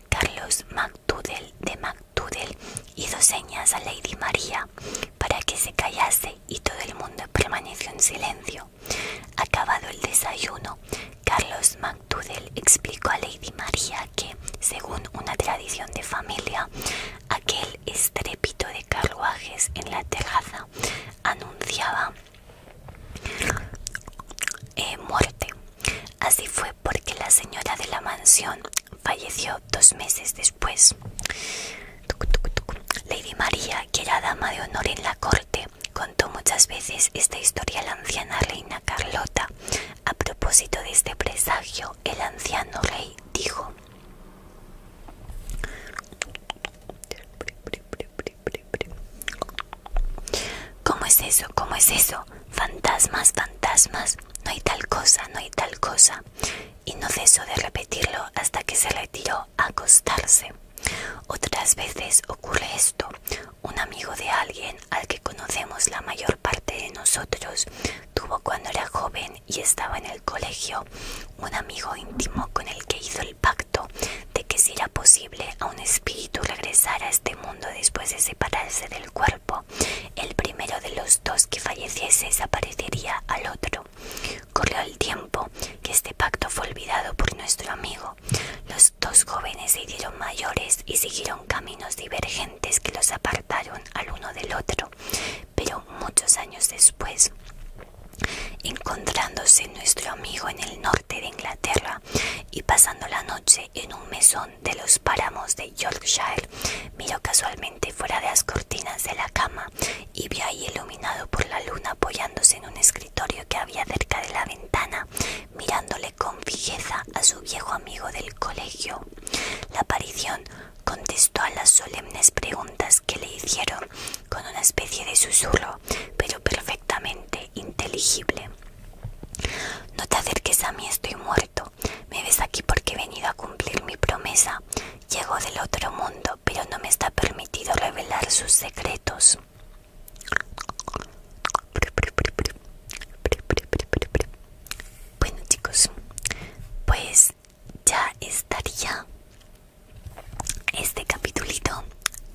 Carlos MacDoodle de MacDoodle hizo señas a Lady María para que se callase y todo el mundo permaneció en silencio. Acabado el desayuno, Carlos MacDoodle explicó a Lady María que, según una tradición de familia, aquel estrépito de carruajes en la terraza anunciaba eh, muerte. Así fue porque la señora de la mansión falleció dos meses después. Lady María, que era dama de honor en la corte, contó muchas veces esta historia a la anciana reina Carlota. A propósito de este presagio, el anciano rey dijo, ¿Cómo es eso? ¿Cómo es eso? Fantasmas, fantasmas. No hay tal cosa, no hay tal cosa. Y no cesó de repetirlo hasta que se retiró a acostarse. Otras veces ocurre esto. Un amigo de alguien al que conocemos la mayor parte de nosotros Tuvo cuando era joven y estaba en el colegio un amigo íntimo con el que hizo el pacto de que si era posible a un espíritu regresar a este mundo después de separarse del cuerpo, el primero de los dos que falleciese desaparecería al otro. Corrió el tiempo que este pacto fue olvidado por nuestro amigo. Los dos jóvenes se hicieron mayores y siguieron caminos divergentes que los apartaron al uno del otro pero muchos años después, encontrándose nuestro amigo en el norte de Inglaterra y pasando la noche en un mesón de los páramos de Yorkshire, miró casualmente fuera de las cortinas de la cama y vio ahí iluminado por la luna apoyándose en un escritorio que había cerca de la ventana, mirándole con fijeza a su viejo amigo del colegio. La aparición Contestó a las solemnes preguntas que le hicieron con una especie de susurro, pero perfectamente inteligible. No te acerques a mí, estoy muerto. Me ves aquí porque he venido a cumplir mi promesa. Llego del otro mundo, pero no me está permitido revelar sus secretos. Bueno chicos, pues ya estaría este capitulito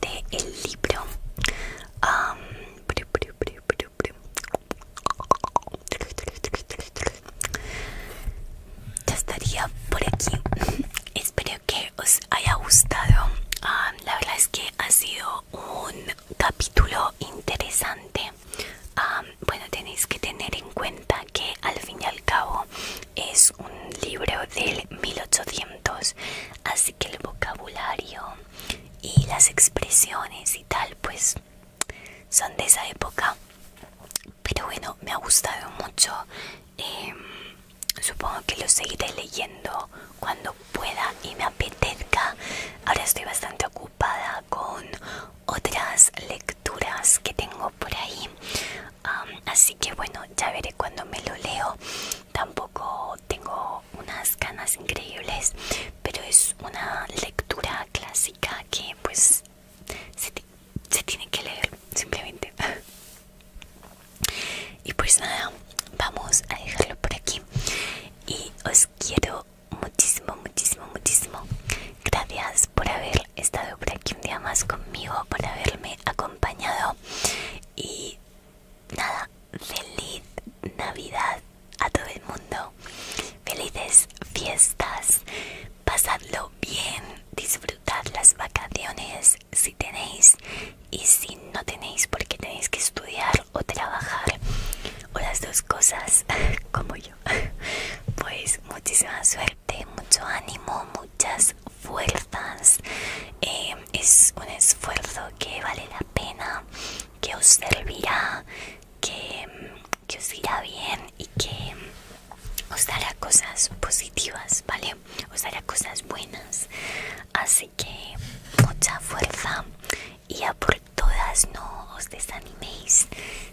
del el libro ya estaría por aquí espero que os haya gustado la verdad es que ha sido un capítulo interesante bueno tenéis que tener en cuenta que al fin y al cabo es un libro del 1800 así que el vocabulario y las expresiones y tal pues son de esa época pero bueno me ha gustado mucho em, supongo que lo seguiré leyendo cuando pueda y me apetezca ahora estoy bastante ocupada con otras lecturas que tengo por ahí así que bueno, ya veré cuando me lo leo. Tampoco tengo unas ganas increíbles, pero es una lectura clásica que pues se tiene que leer simplemente. y pues nada, vamos a dejarlo por aquí. Y os quiero muchísimo, muchísimo, muchísimo. Gracias por haber estado por aquí un día más conmigo, por haberme acompañado. Y nada, feliz Navidad a todo el mundo. Felices fiestas. Pasadlo bien. Disfrutad las vacaciones si tenéis. Y si no tenéis porque tenéis que estudiar o trabajar o las dos cosas como yo. Pues muchísima suerte mucho ánimo, muchas fuerzas. Eh, es un esfuerzo que vale la pena, que os servirá, que, que os irá bien y que os dará cosas positivas, ¿vale? Os dará cosas buenas. Así que mucha fuerza y a por todas no os desaniméis.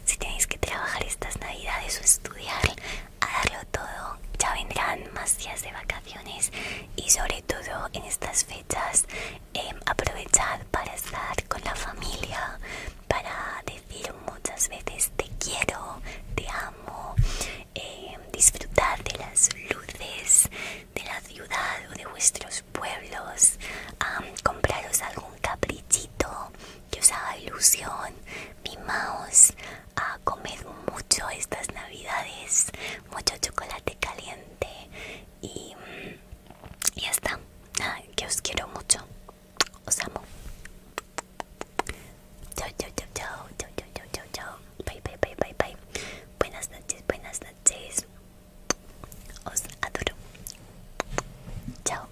Si tenéis que trabajar estas navidades o estudiar, a darlo todo. Ya vendrán más días de vacaciones y sobre todo en estas fechas aprovechar em, aprovechad para estar con la familia, para decir muchas veces te quiero, te amo, em, disfrutar de las luces de la ciudad o de vuestros pueblos, compraros algún caprichito que os haga ilusión, mi mouse a comer mucho estas navidades, mucho chocolate caliente y ya está. Nada, que os quiero mucho. Os amo. Chao, chao, chao, chao, chao, chao, chao, Bye, bye, bye, bye, bye. Buenas noches, buenas noches. Os adoro. Chao.